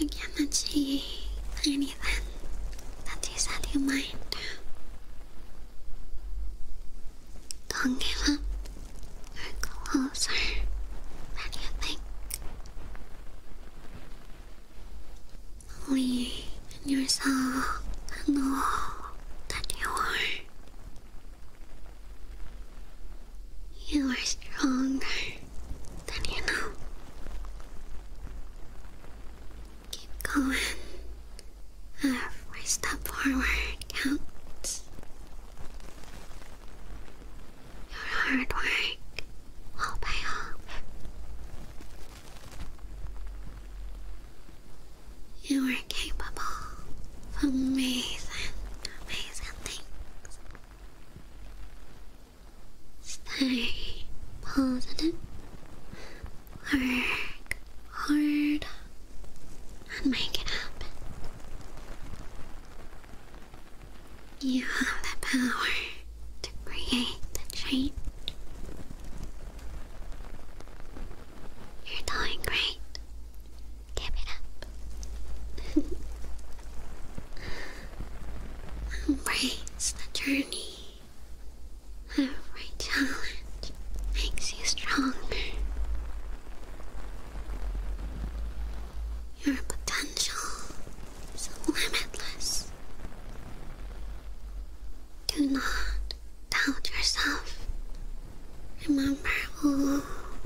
I cannot see anything that is out of your mind. Don't give up or go closer than you think. Only in yourself know that you are you are stronger than you know. Keep going. Every step forward counts. Your hard work will pay off. You are capable of amazing, amazing things. Stay positive, work hard, and make it up. You have the power to create the change. You're doing great. Give it up. Embrace the journey. Every challenge makes you stronger. Your potential is limitless. Do not doubt yourself Remember all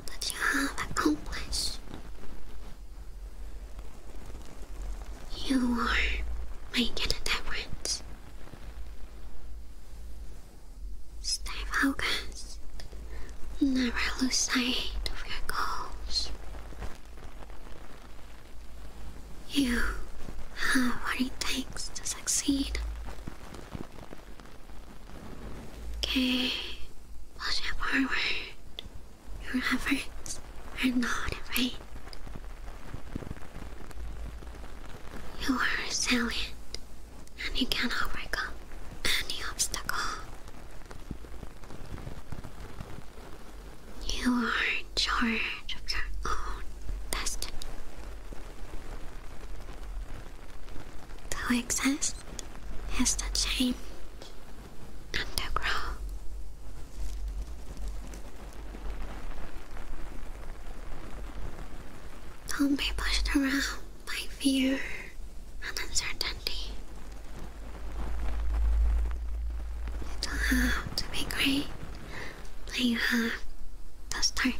that you have accomplished. You are making a difference. Stay focused. Never lose sight of your goals. You have what it takes to succeed. Okay, push it forward. Your efforts are not in vain. You are salient, and you can overcome any obstacle. You are in charge of your own destiny. To exist is to change and to grow. Don't be pushed around by fear and uncertainty. You don't have to be great, you have to start.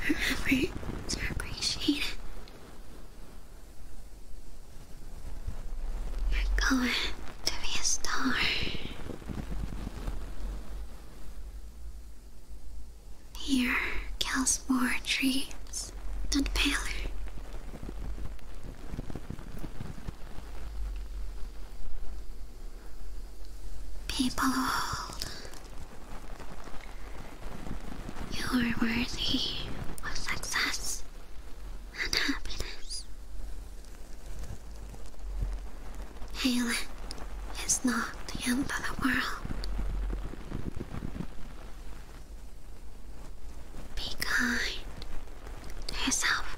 Her efforts are appreciated. You're going to be a star. Here, kills more trees than paler. People old. You are worthy of success and happiness. Helen is not the end of the world. Be kind to yourself.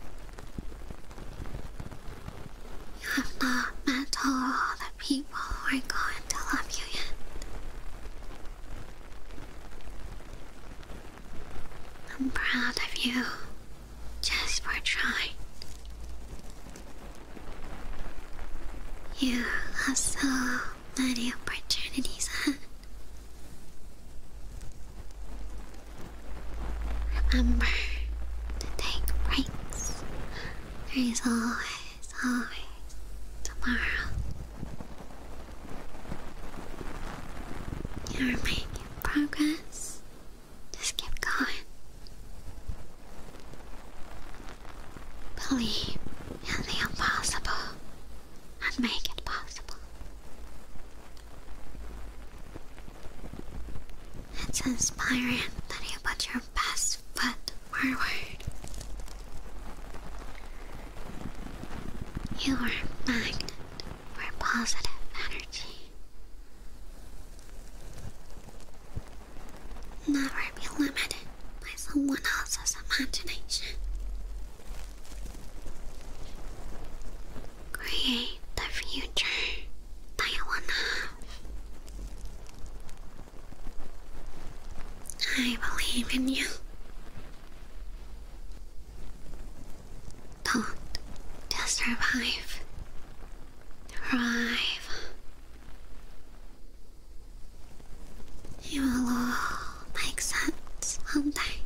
You have not met all the people who are going to love you yet. I'm proud of you just for trying. You have so many opportunities ahead. Remember to take breaks there is always, always tomorrow. You're making progress. Just keep going. Believe in the impossible and make it possible. It's inspiring that you put your best foot forward. You are magnet for positive energy. Never be limited by someone else's imagination. Create the future that you want to have. I believe in you. Don't just survive, thrive. It will make sense one day.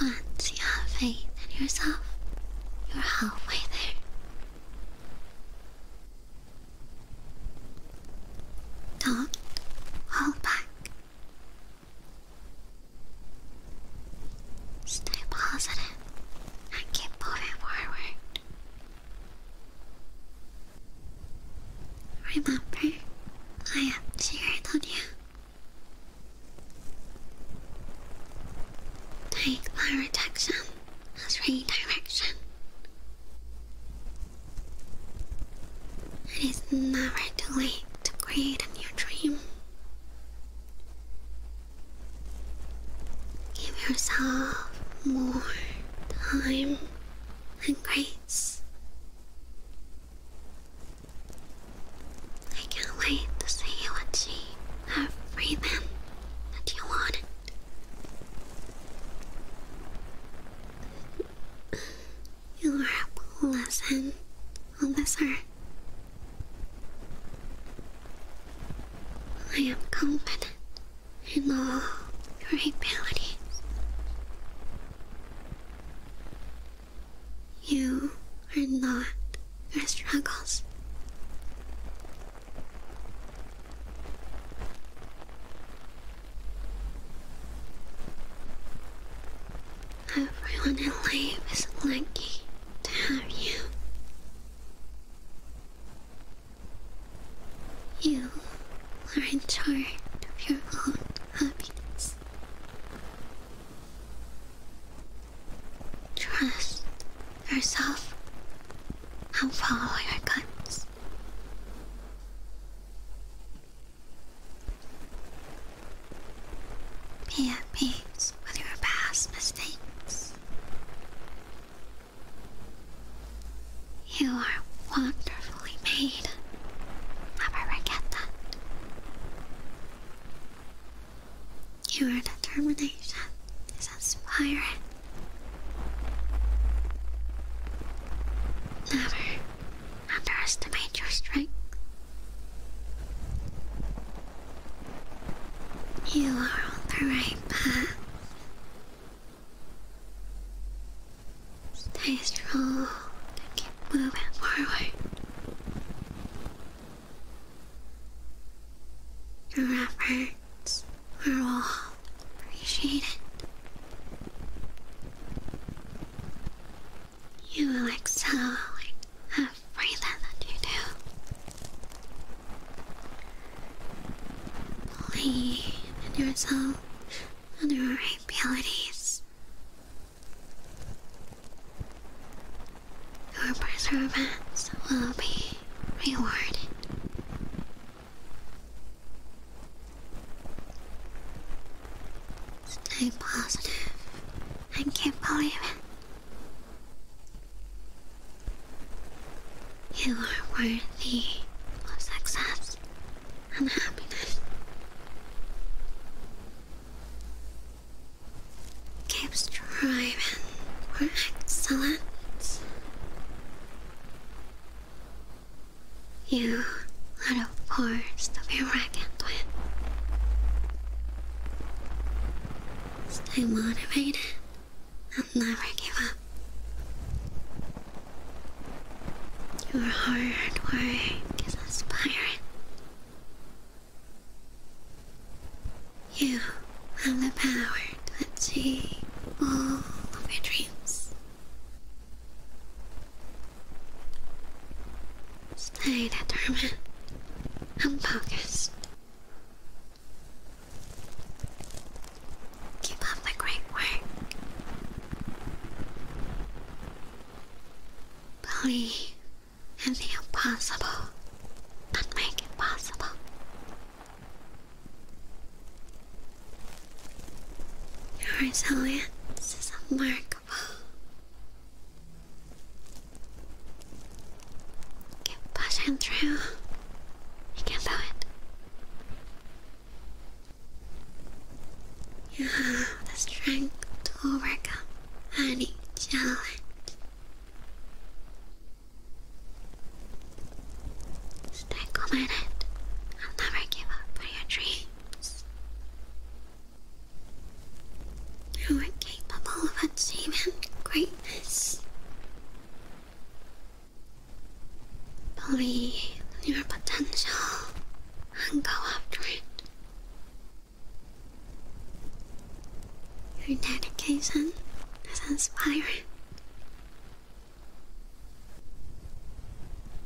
Once you have faith in yourself, you're halfway there. Don't hold back. Stay positive and keep moving forward. Remember, I am cheering on you Take my attention as redirection. It is never too late to create a new dream. Give yourself more time and grace. I can't wait to see you achieve everything that you wanted. You are a cool lesson on this earth. I am confident in all your abilities. You are not your struggles. Everyone in life is lucky to have you. You are in charge of your own happiness. Trust yourself and follow your guts. Be at peace with your past mistakes. You are wonderfully made. Never forget that. Your determination is inspiring. Never underestimate your strength. You are on the right path. Stay strong and keep moving forward. Your efforts are all appreciated. You excel at everything that you do. Believe in yourself and your abilities. Your perseverance will be rewarded. Stay positive can't believe it. You are worthy of success and happiness. Keep striving for excellence. You are the force to be reckoned with. Stay motivated and never give up. Your hard work is inspiring you have the power to achieve all of your dreams. Stay determined and focused. Keep up the great work. Believe and the impossible and make it possible. Your This is remarkable. Keep pushing through. You can do it. You have the to overcome any challenge. Stay committed. I'll never give up on your dreams. You are capable of achieving greatness. Believe in your potential and go after it. Your dedication is inspiring.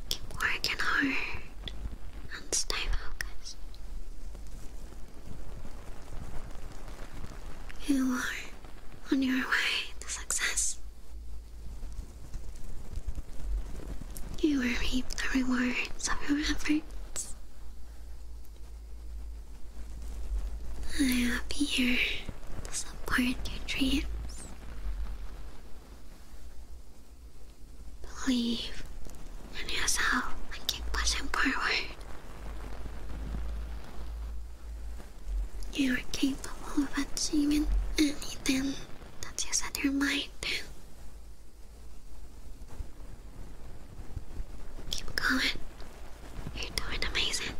Keep working hard and stay focused. You are on your way to success. You will reap the rewards of your efforts. I am here to support your dreams. Believe in yourself and keep pushing forward. You are capable of achieving anything that you set your mind to. Keep going. You're doing amazing.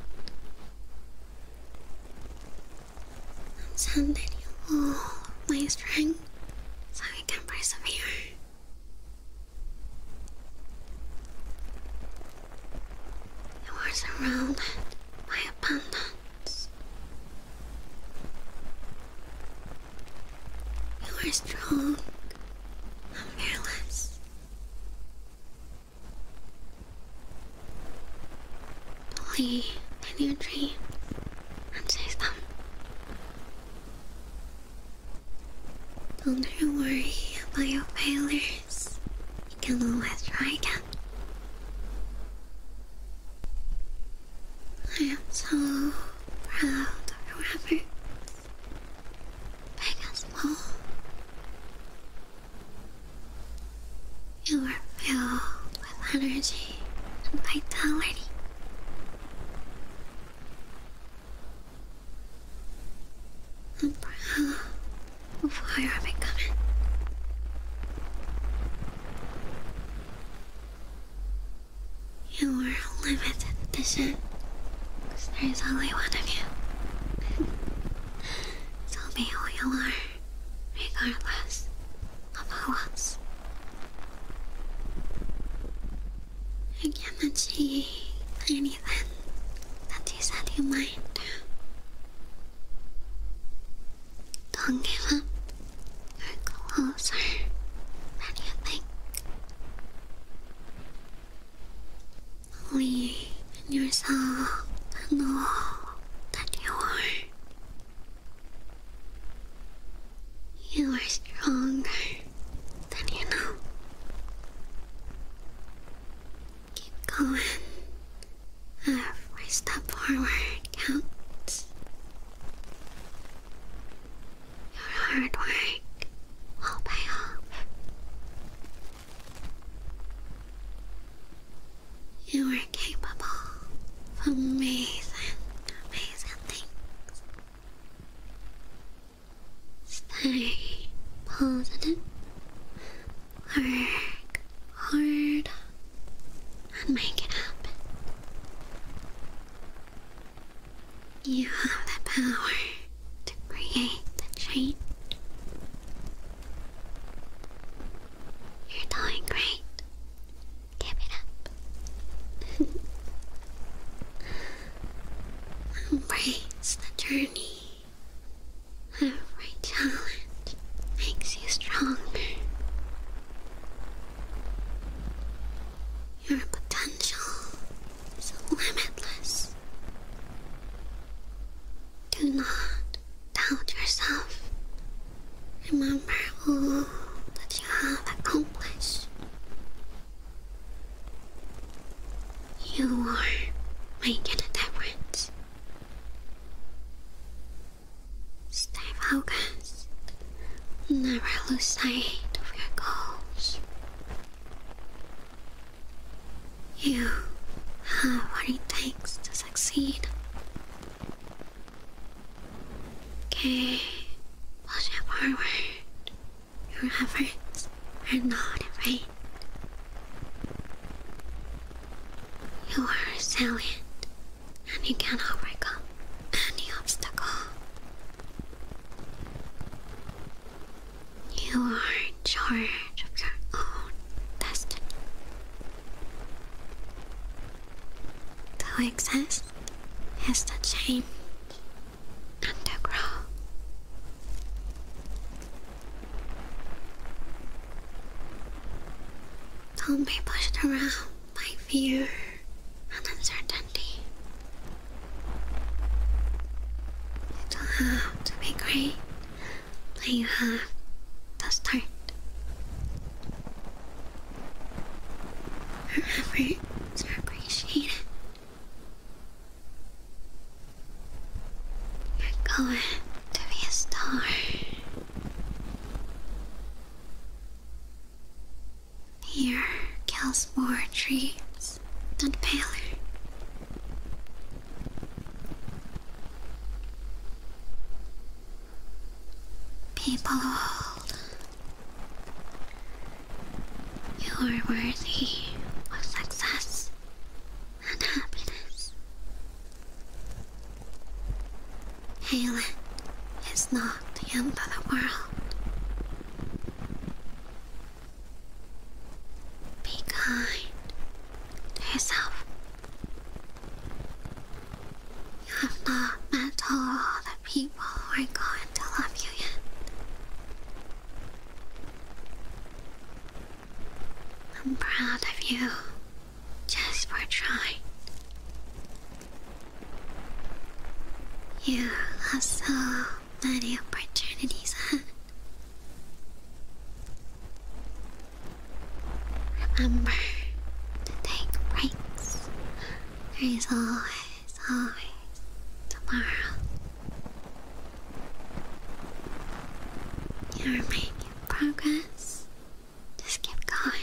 I'm sending you all my strength so you can persevere. You are surrounded by abundance. You are strong and fearless. Play in your dreams and Don't worry about your failures. You can always try again. I am so proud of your Big and small, you are filled with energy and vitality. And proud of who you are becoming. You are limited edition because there's only one of you. be who you are, regardless of who else. I cannot see anything that you said you might do. Don't give up. You're closer than you think only in yourself know that you are. You are stronger than you know. Keep going. Every step forward counts. Your hard work will pay off. You are capable of amazing, amazing things. Stay positive, work hard, and make it happen. You have the power to create the change. You're doing great. Give it up. Embrace the journey. Every challenge makes you stronger. Your potential is limitless. Do not doubt yourself. Remember all that you have accomplished. You are making a difference. Stay focused. Never lose sight of your goals. You have what it takes to succeed. Okay, push forward. Your efforts are not in vain. You are resilient and you can overcome any obstacle. You are in charge of your own destiny. To exist is to change and Don't be pushed around by fear and uncertainty. You don't have to be great, then you have to start. Her efforts are appreciated. You're going to be a star. Fear kills more dreams worse and paler. People old, you are worthy of success and happiness. Helen is not the end of the world. Be kind to yourself. You have not met all the people who are going to love you yet. I'm proud of you just for trying. You have so many opportunities. Remember to take breaks. There is always, always tomorrow. You're making progress. Just keep going.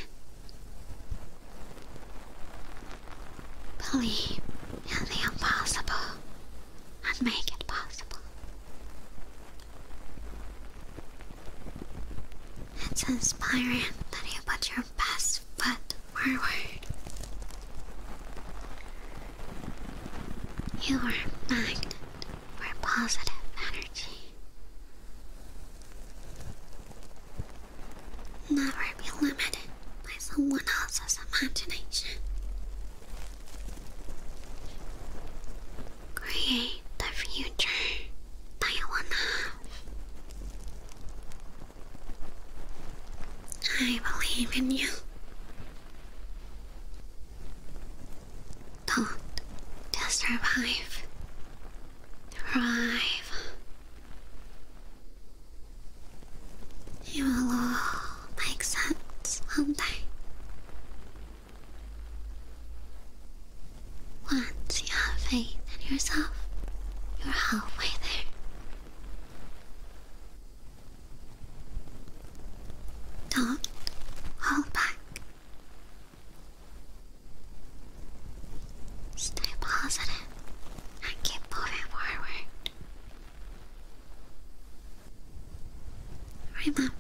Believe in the impossible and make it possible. It's inspiring that you put your best foot forward. You are a magnet for positive energy. Never be limited by someone else's imagination. Create the future that I believe in you. Don't just survive, thrive. You will my exams, won't I? Once you have faith in yourself, you're halfway there. Don't hold back. Stay positive and keep moving forward. Remember,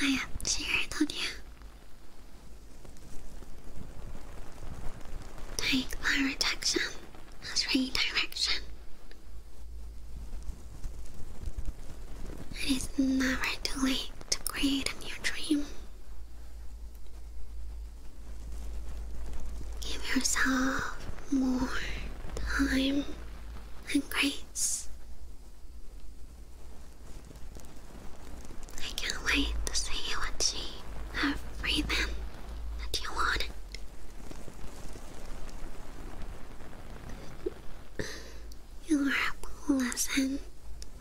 I am cheering on you. Take my rejection as redirection. It is never too late to create a new dream. Give yourself more time and grace. I can't wait to see what she have free them that you wanted. You are a lesson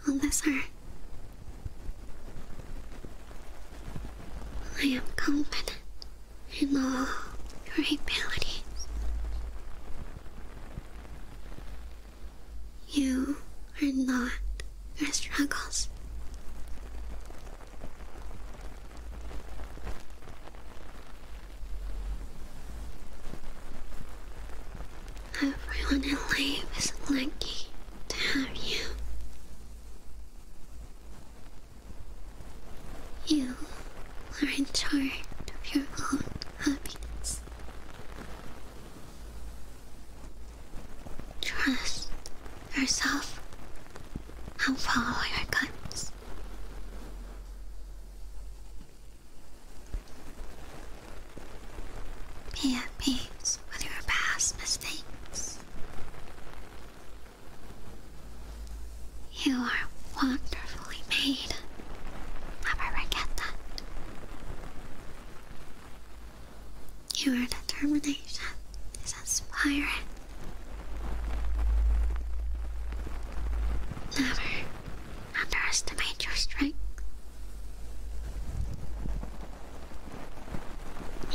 on I am confident in all your abilities. You are not your struggles. Everyone in life is lucky to have you. You are in charge of your own happiness. Trust yourself follow your guts. Be at peace with your past mistakes. You are wonderfully made. Never forget that. Your determination is inspiring. Never underestimate your strength.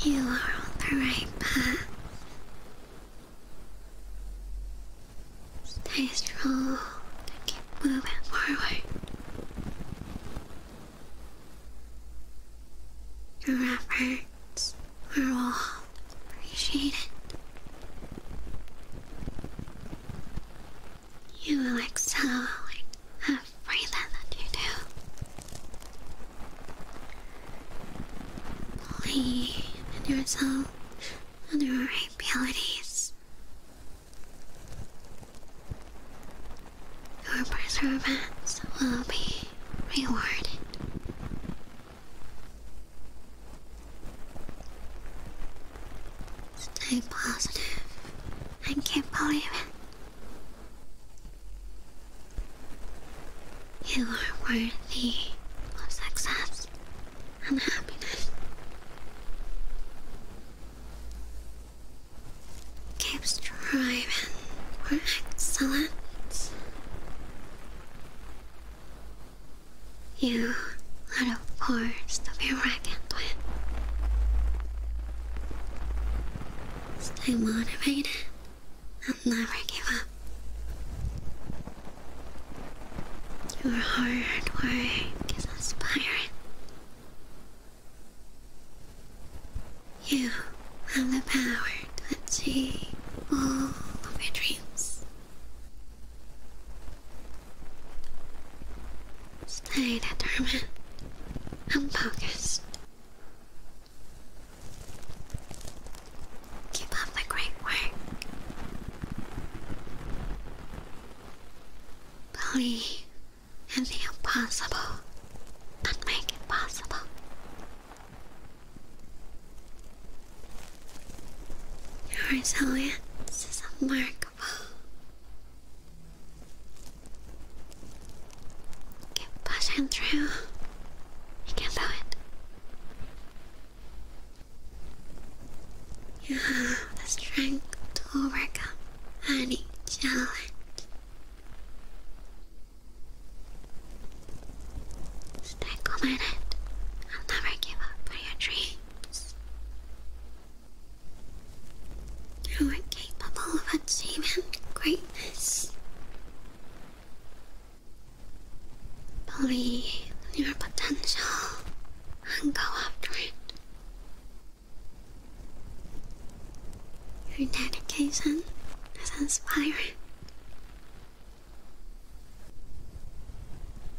You are the right path. Stay strong and keep moving forward. Your efforts are all appreciated. You will excel in everything that you do. Believe in yourself other abilities. Your perseverance will be rewarded. Stay positive and keep believing. You are worthy of success and happiness. Keep striving for You are a force to be reckoned with. Stay motivated and never give up. Your hard work is inspiring. You have the power to achieve all of your dreams. Stay determined I'm focused. Keep up the great work. Believe in the impossible and make it possible. Your resilience is remarkable. Keep pushing through. You can do it. You have the strength to overcome any challenge. Stay committed and never give up on your dreams. You are capable of achieving greatness. Believe in your potential and go after it. Your dedication is inspiring.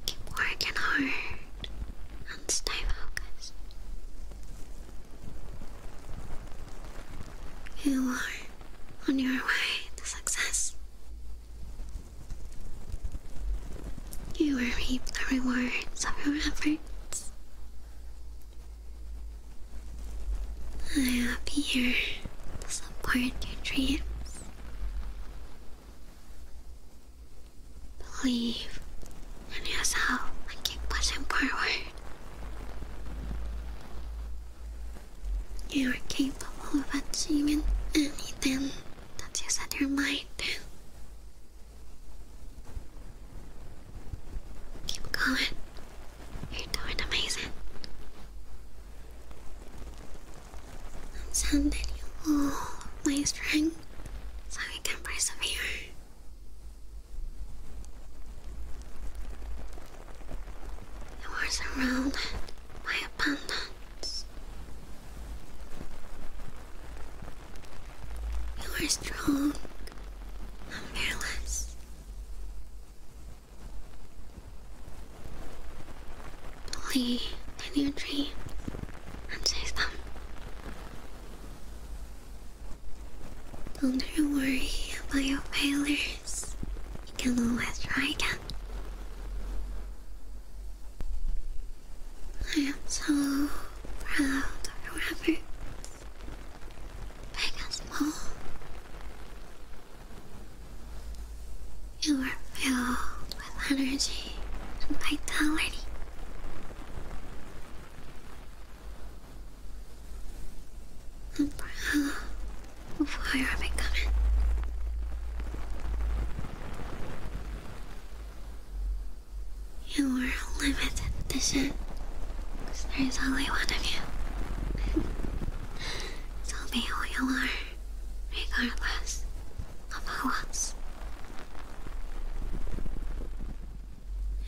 Keep working hard and stay focused. You are on your way to success. You will reap the rewards of your efforts. I am here to support your dreams. Believe in yourself and keep pushing forward. You are capable of achieving anything that is on your mind. Keep going. You're doing amazing. I'm you all my strength so you can persevere. You are surrounded by abundance you are strong and fearless. Believe in your dreams and chase them. Don't you worry about your failures. You can always try again. I am so proud of whoever big and small. You are filled with energy and vitality. I'm proud of who you are becoming. You were limited edition. Because there's only one of you. so be who you are, regardless of who else.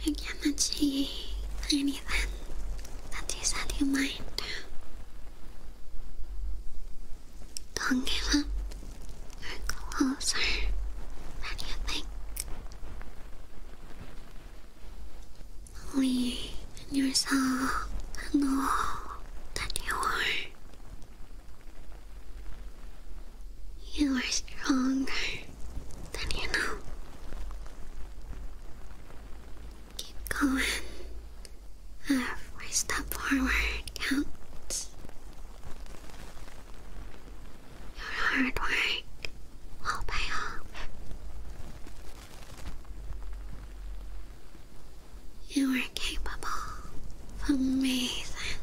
I cannot see anything that you said you might do. Don't give up. you are closer than you think. Believe in yourself and that you are. You are stronger than you know. Keep going. Every step forward counts. Your hard work will pay off. You are capable of amazing,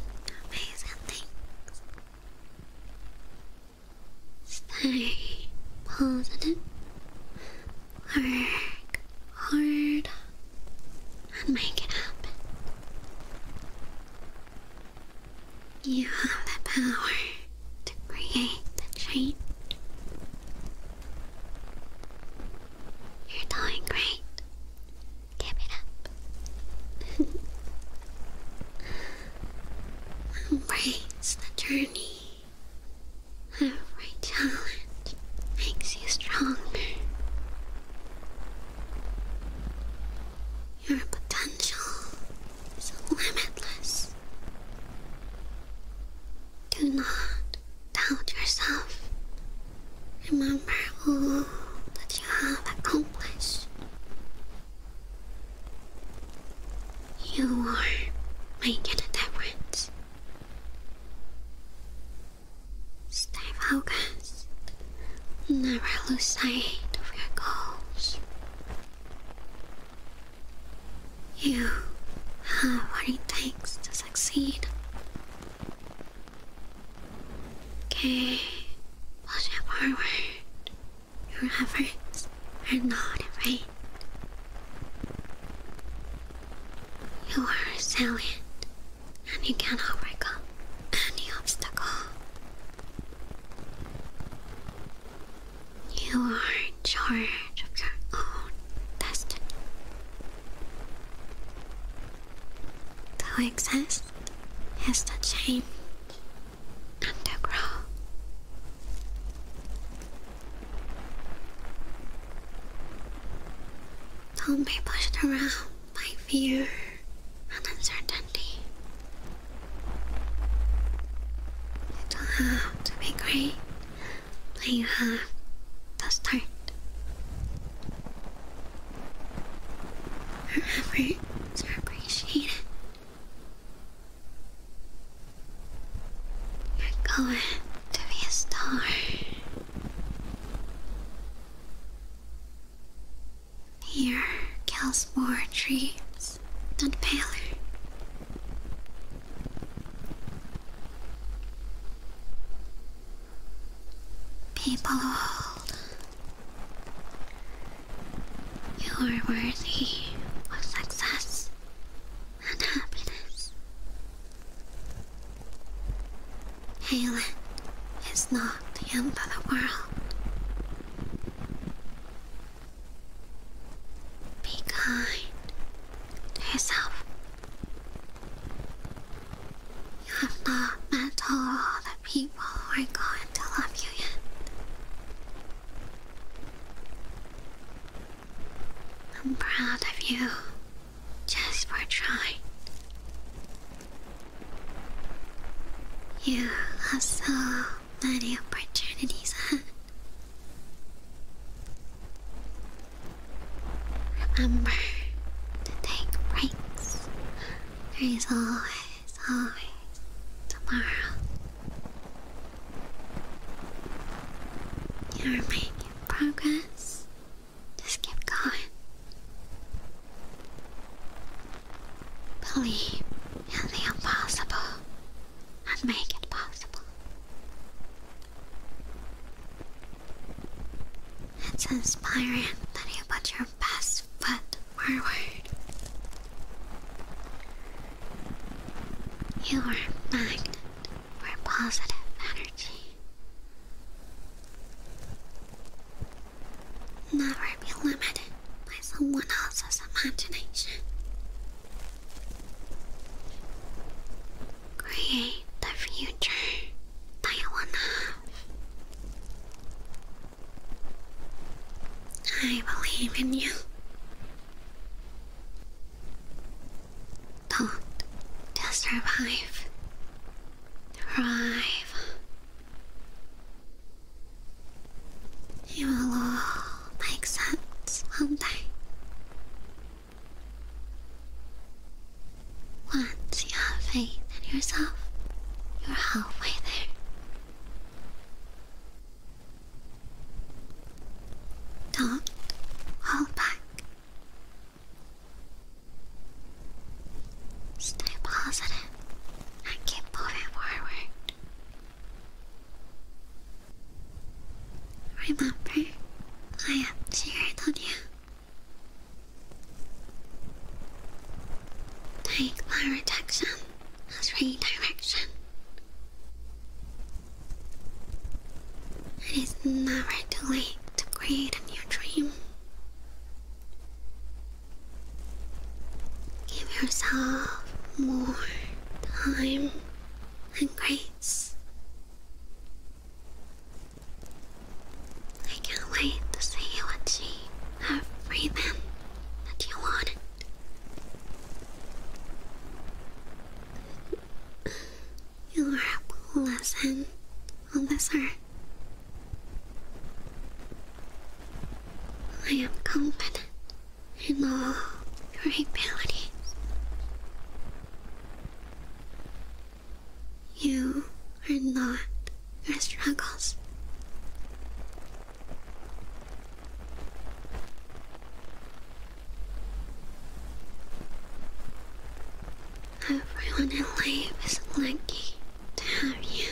amazing things. Stay positive. Work hard and make it happen. You have the power to create the change. You're doing great. Give it up. Embrace the journey. Every challenge makes you stronger your potential is limitless. Do not doubt yourself. Remember all that you have accomplished. You are making a difference. Stay focused. Never lose sight of your goals. You have what it takes to succeed. Okay, push forward. Your efforts are not in vain. You are resilient and you can overcome any obstacle. You are in charge of your own destiny. To exist is to change and to grow. Don't be pushed around by fear and uncertainty. You don't have to be great, you have to start. Your efforts are appreciated. You're going to be a star. Here, more dreams than paler. People old, you are worthy of success and happiness. Halen is not the end of the world. Be kind to yourself. You have not met all the people who are going to love you yet. I'm proud of you just for trying. You have so many opportunities Remember to take breaks. There is always, always tomorrow. You're making progress. Just keep going. Believe in the impossible and make it possible. It's inspiring that you put your best foot forward. You are magnet for positive energy. Never be limited by someone else's imagination. Create the future that you I believe in you. Don't just survive. Thrive. You will all make sense someday. Once you have faith in yourself, you're halfway there. Don't hold back. Stay positive and keep moving forward. Remember, I am here on you. Take my rejection as redirection. It is never too late to create a new dream. Give yourself more time and grace. I can't wait to see you achieve everything that you wanted. You are a blessing on this earth, I am confident in all your abilities. You are not your struggles. Everyone in life is lucky to have you.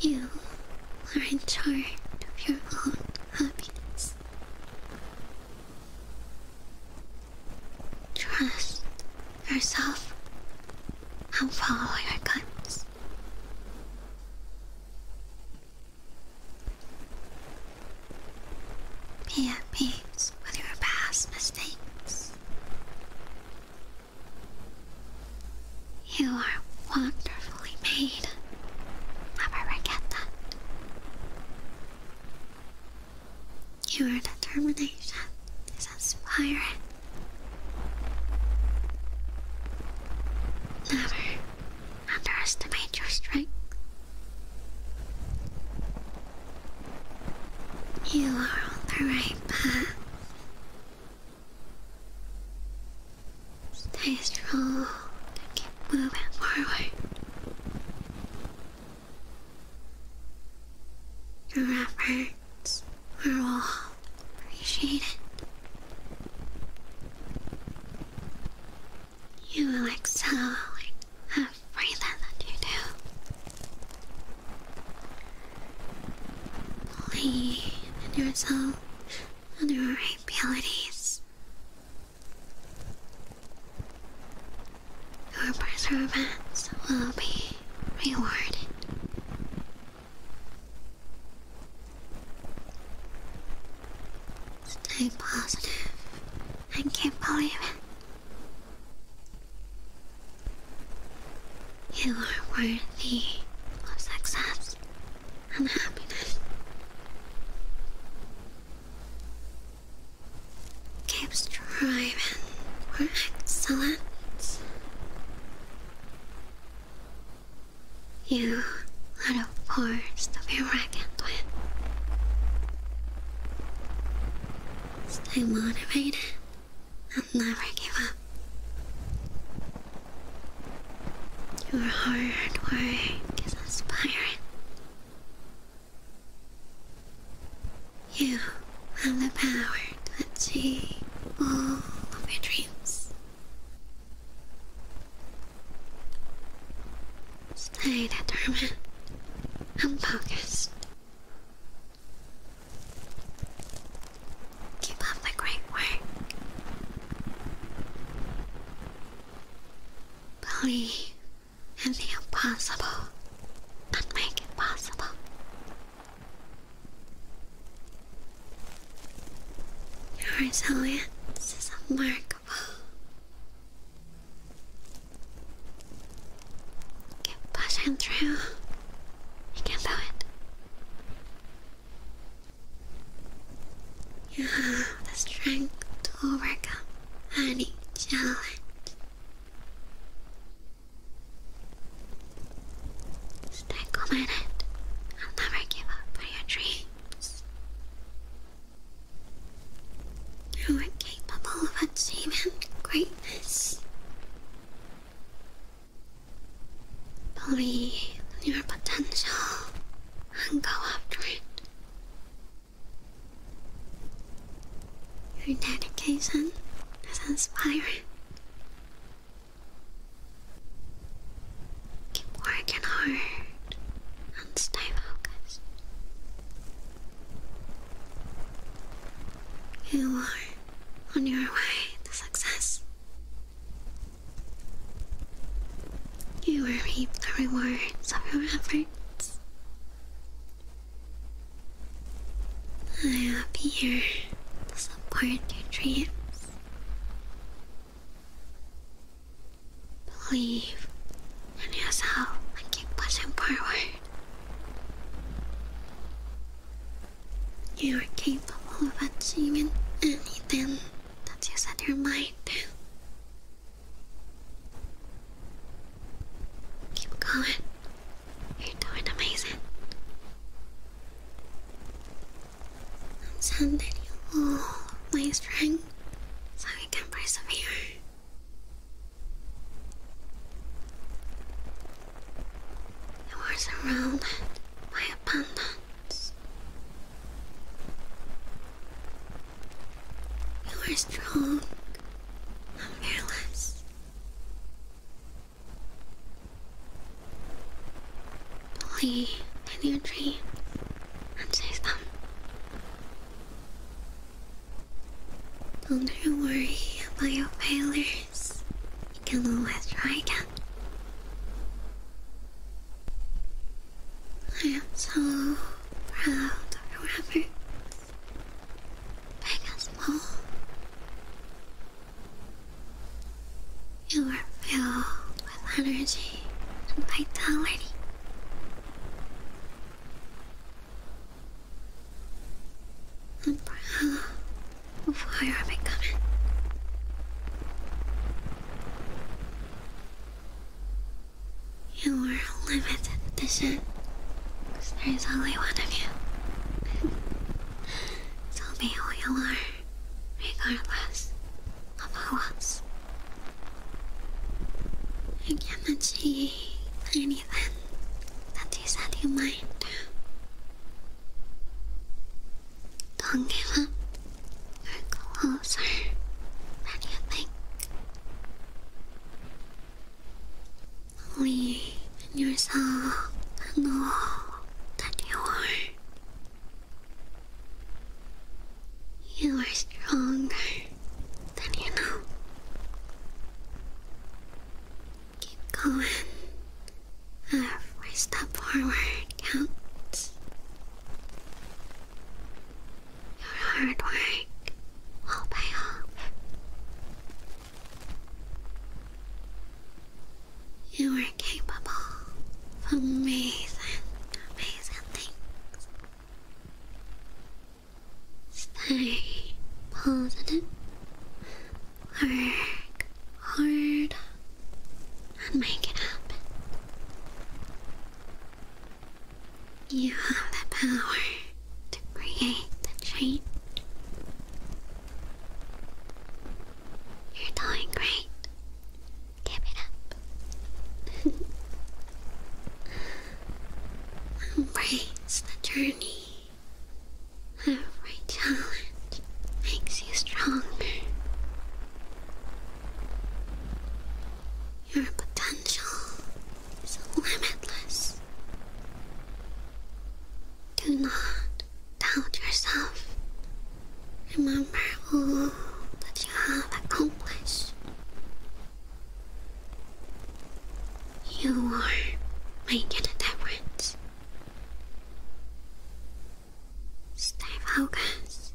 You are in charge of your own happiness. Trust yourself and follow your guts. Be at peace with your past mistakes. You are wonderfully made. Never forget that. Your determination is inspiring. Never underestimate your strength you are on the right path. Stay strong and keep moving forward. Your efforts are all appreciated. You excel at I'm afraid that, that you do. Believe in yourself and your abilities. Your perseverance will be rewarded. Stay positive and keep believing. You are worthy of success and happiness. Keep striving for excellence. You are a force to be reckoned with. Stay motivated and never give up. Your hard work is inspiring. You have the power to achieve all of your dreams. Stay determined and focused. Keep up the great work. Believe in the impossible and make it possible. Your resilience is remarkable. Keep pushing through. You can do it. You have the strength to overcome any challenge. Stay committed and never give up on your dreams. You are capable of achieving greatness. Believe in your potential and go after it. Your dedication is inspiring. Keep working hard and stay focused. You are on your way to success. You will reap the rewards of your efforts. i am here to support your dreams. Believe in yourself and keep pushing forward. You are capable of achieving anything that you set your mind to. Keep going. You're doing amazing. I'm sending you all my strength so you can persevere. You are surrounded by abundance. You are strong and fearless. Believe in your dreams and chase them. Don't worry about your failures. You can always try again. I am so proud of your big and small. You are filled with energy and vitality. And by hell, why are they coming? You are limited edition, because there is only one of you. so be who you are, regardless of who else. I cannot see any anything that you said you might do. Don't give up. You're closer than you think. Believe in yourself and that you are. You are stronger than you know. Keep going. Our uh, step forward counts. Your hard work will pay off. You are capable of amazing, amazing things. Stay positive. Work hard and make it happen. You have the power to create the change. You're doing great. Give it up. Embrace the journey. Every challenge makes you stronger. Your potential is limitless. Do not doubt yourself. Remember all that you have accomplished. You are my reference. Stay focused.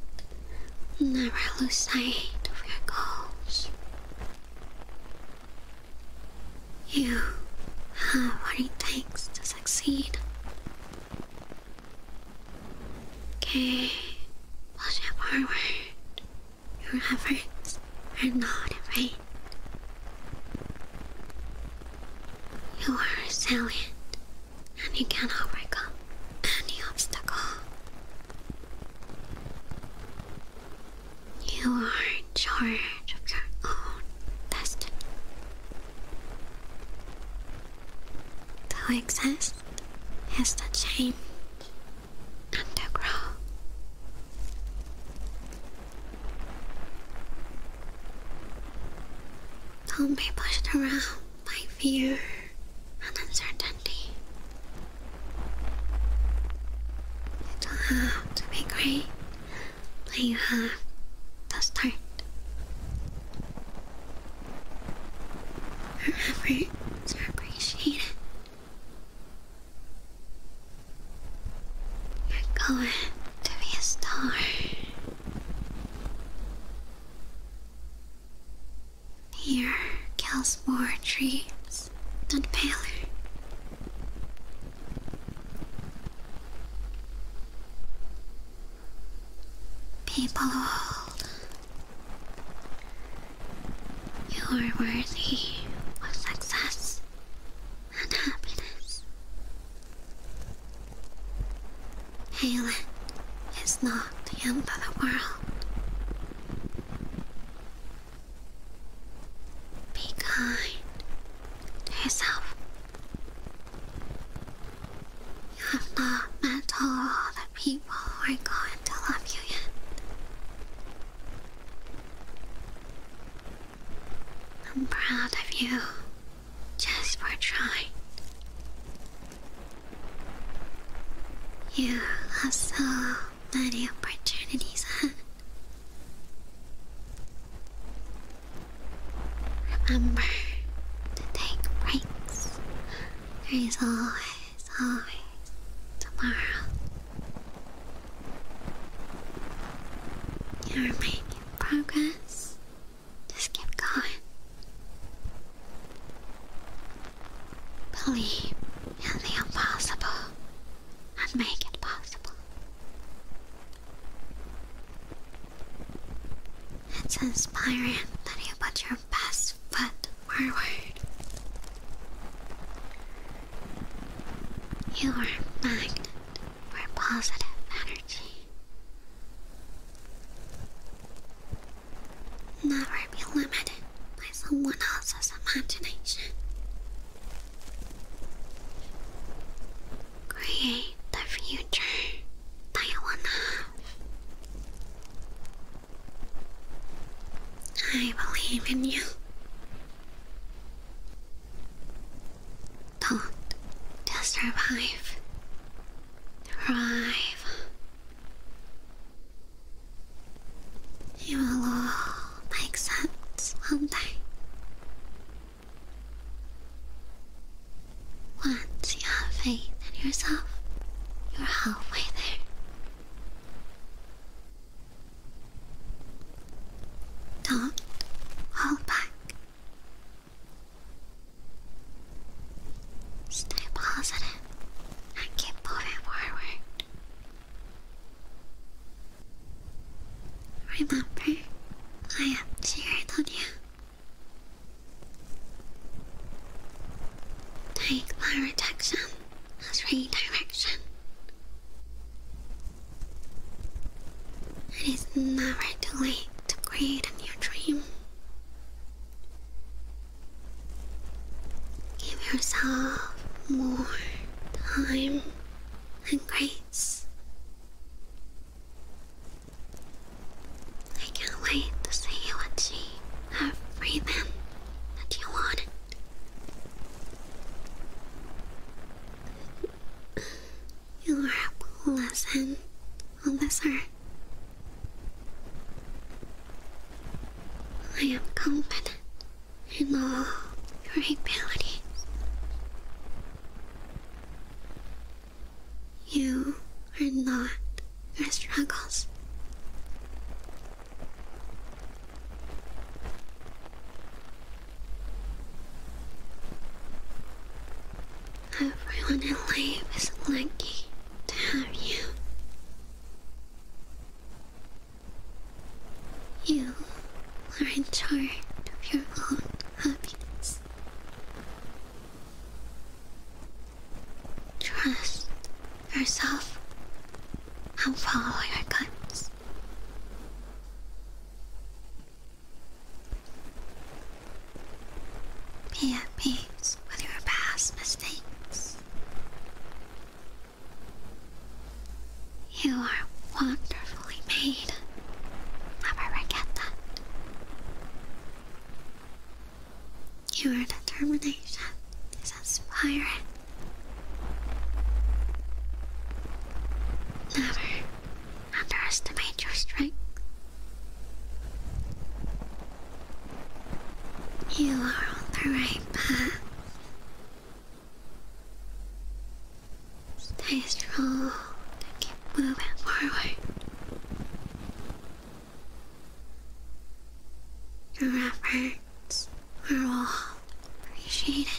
Never lose sight of your goals. You have what it takes to succeed. Okay, push forward your efforts are not afraid. You are resilient and you can overcome any obstacle. You are in charge of your own destiny. To exist is to change and to grow. Don't be pushed around by fear and uncertainty. You do have to be great, but you have to start. Your efforts are appreciated you're going to be a star. Here, Calspore dreams and paler. People old, you are worthy of success and happiness. is not the end of the world. Be kind to yourself. You have not met all the people who are going to love you yet. I'm proud of you just for trying. You have so many opportunities ahead. Remember to take breaks. There is always, always tomorrow. You're making progress. Just keep going. Believe in the impossible and make it possible. It's inspiring that you put your best foot forward. You are a magnet for positive energy. Never be limited by someone else's imagination. Create the future that you want to have. I believe in you. Don't just revive. Revive. will make sense one day. Once you have faith in yourself, you're halfway there. Don't hold back. Stay positive and keep moving forward. Remember, I am cheering on you. Take my rejection as redirection. It is never too late to create a new dream. Give yourself more time and grace. I can't wait to see you achieve everything that you wanted. You are a cool lesson, officer. I am confident in all your abilities. You are not your struggles. Everyone in life is lucky to have you. You are in charge of your own happiness. Trust yourself and follow your guts. Be at peace with your past mistakes. You are wonderfully made. Never forget that. Your determination is inspiring. Never underestimate your strength. You are on the right path. Stay strong and keep moving forward. Your efforts are all appreciated.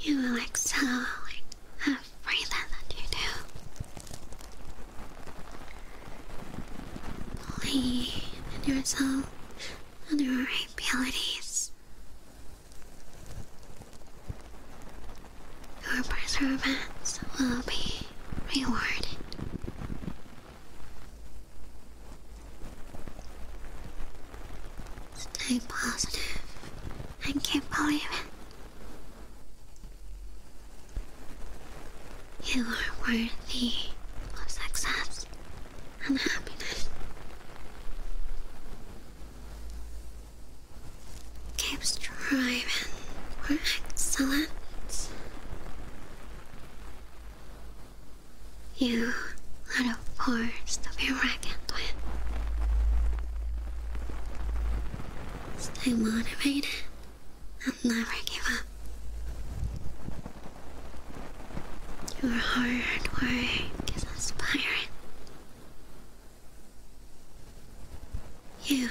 You will excel in everything that you do. Believe in yourself and your abilities. Your perseverance will be rewarded. Stay positive. I can't believe it. You are worthy of success and happiness. Keep striving for excellence. You are the first to be reckoned with. Stay motivated and never give up. Your hard work is inspiring. You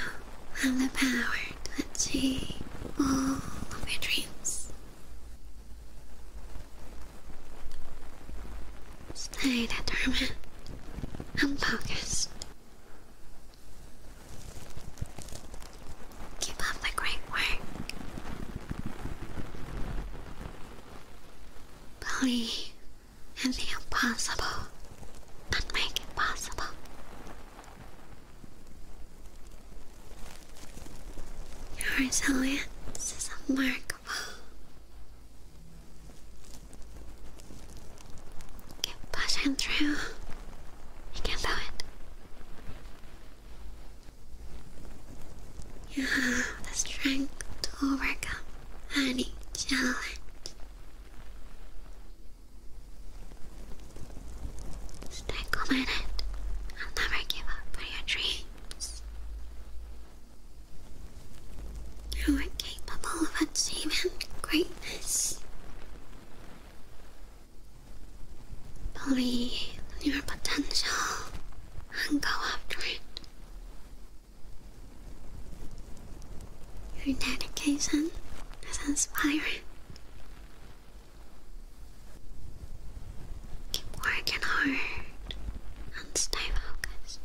have the power to achieve all of your dreams. Stay determined and focused. Keep up the great work. Believe in the impossible and make it possible. Your This is remarkable. Keep pushing through. You can do it. You have the strength to overcome any challenge. Stay committed and never give up on your dreams. You are capable of achieving greatness. Believe in your potential and go after it. Your dedication is inspiring. Keep working hard and stay focused.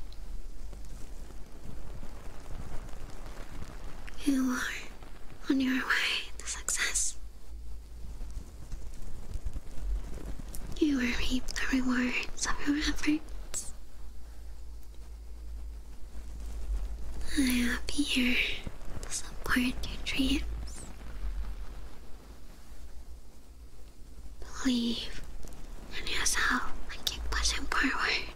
You are on your way to success. You will reap the rewards of your efforts. I'll be here to support your dreams. Believe in yourself and keep pushing forward.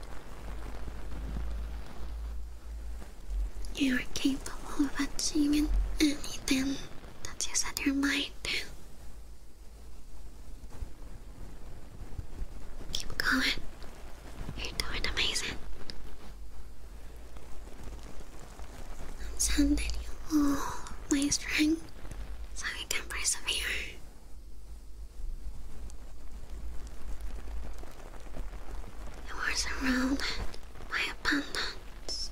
You are capable of achieving anything that you set your mind to. Keep going. You're doing amazing. I'm sad that you all oh, my strength so I can persevere. You are surrounded by abundance.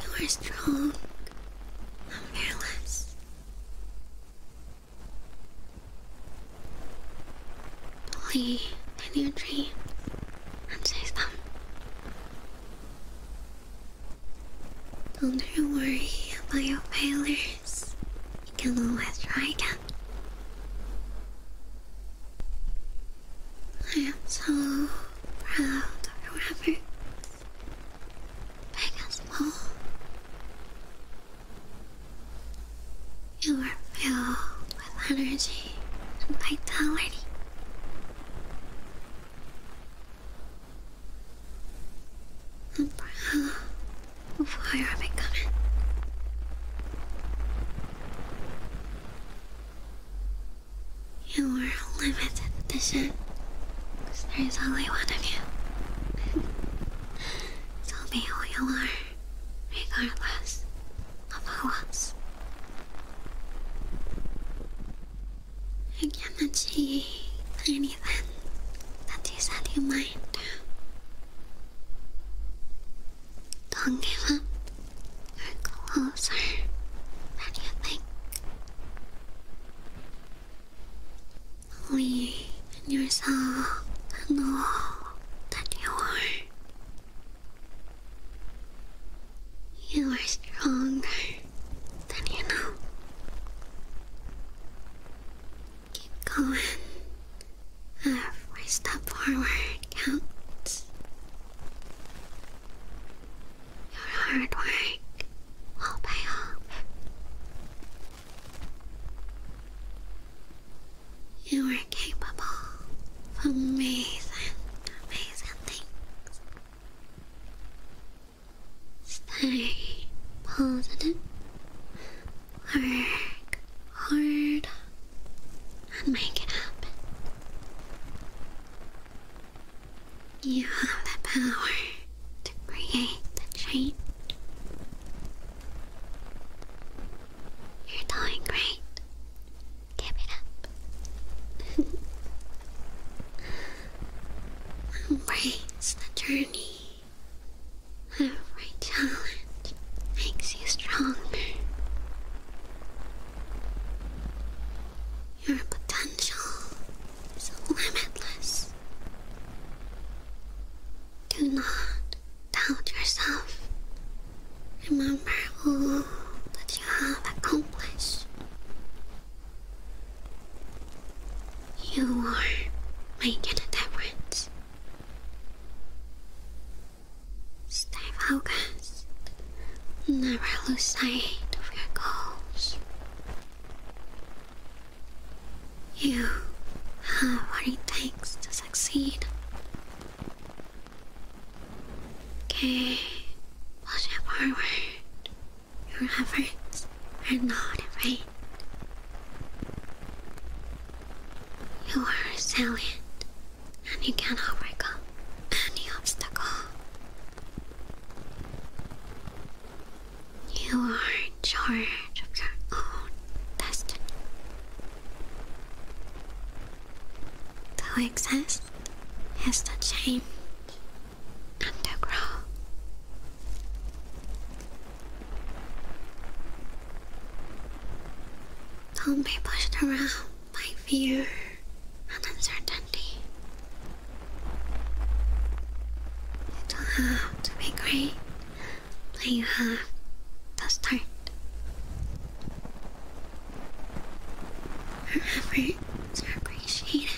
You are strong and fearless. Believe in your dreams don't you worry about your failures. You can always try again. I am so proud of your efforts, big and small. You are filled with energy and vitality. And proud of you're becoming. You are a limited edition, because there is only one of you. so be who you are, regardless of who else I cannot see anything that is out your mind. Don't give up. You're closer than you think. Only in yourself know that you are you are stronger than you know. Keep going. Every step forward counts. Your hard work will pay off. You are capable amazing, amazing things. Stay positive, work hard, and make it happen. You have the power to create the change. You're doing great. Give it up. Embrace the journey. Every challenge makes you stronger. Your potential is limitless. Do not doubt yourself Remember all that you have accomplished. You are making a difference. Stay focused. Never lose sight of your goals. You have what it takes to succeed. Okay, push it forward. Your efforts are not in vain. You are salient, and you can overcome any obstacle. You are in charge of your own destiny. To exist it's the change and Don't be pushed around by fear and uncertainty. You don't have to be great, but you have to start. Her efforts are appreciated.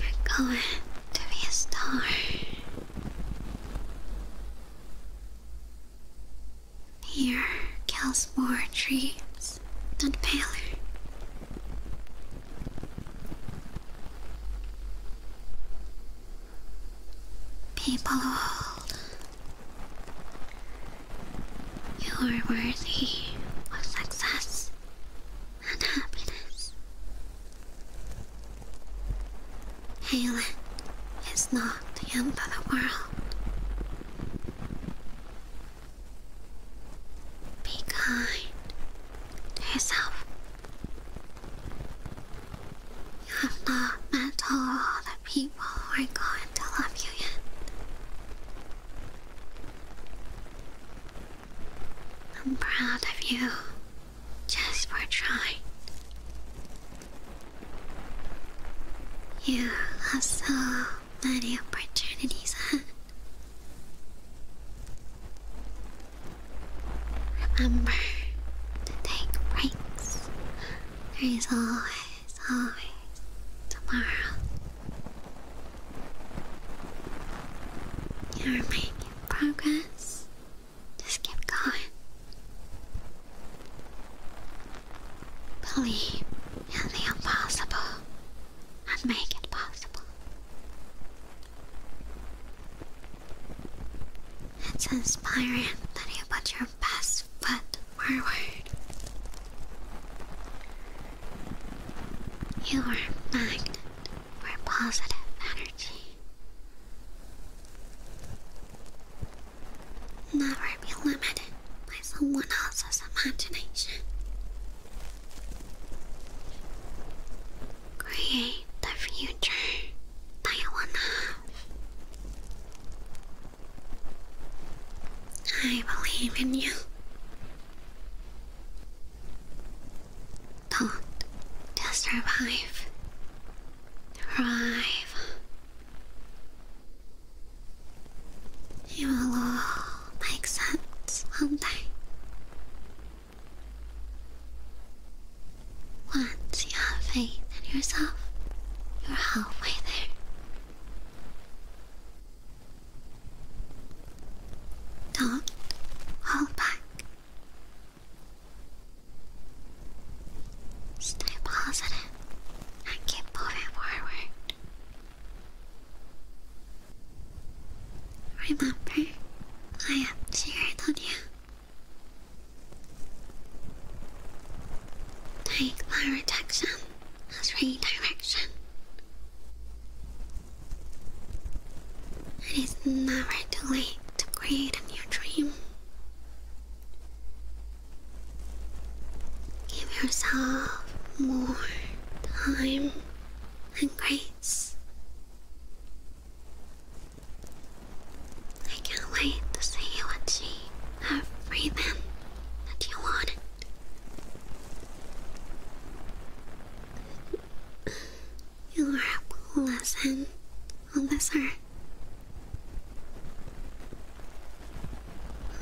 You're going to be a star. Here, more dreams than paler. People old you are worthy of success and happiness. Halen is not the end of the world. Be kind to yourself. You have not met all the people who are going to love you yet. I'm proud of you just for trying. You have so many opportunities Remember to take breaks there is always, always tomorrow. You're making progress. Just keep going. Believe in the impossible and make it possible. It's inspiring that you put your best foot forward. You are magnet for positive energy. Never be limited by someone else's imagination. Create the future that you want to have. I believe in you. Don't just survive. Thrive. It will all make sense one day. Once you have faith in yourself you're halfway there. Don't hold back. Stay positive and keep moving forward. Remember, I am cheering on you. Take my rejection as redirection. It is never too late to create a new dream. Give yourself more time and grace. I can't wait to see what she have free them that you wanted. You are a cool lesson on this earth.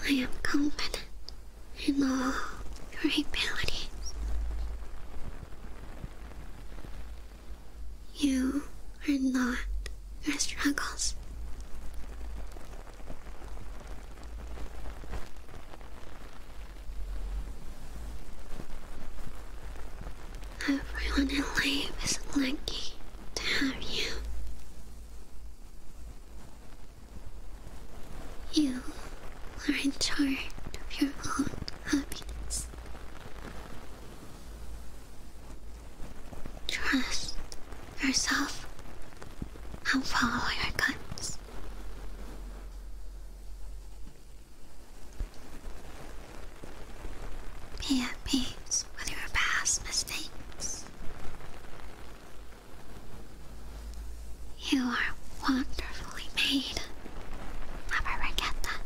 I am confident in all your abilities. You are not your struggles. Everyone in life is lucky to have you. You are in charge of your own happiness. Trust yourself and follow your guts. Be at peace with your past mistakes. You are wonderfully made. Never forget that.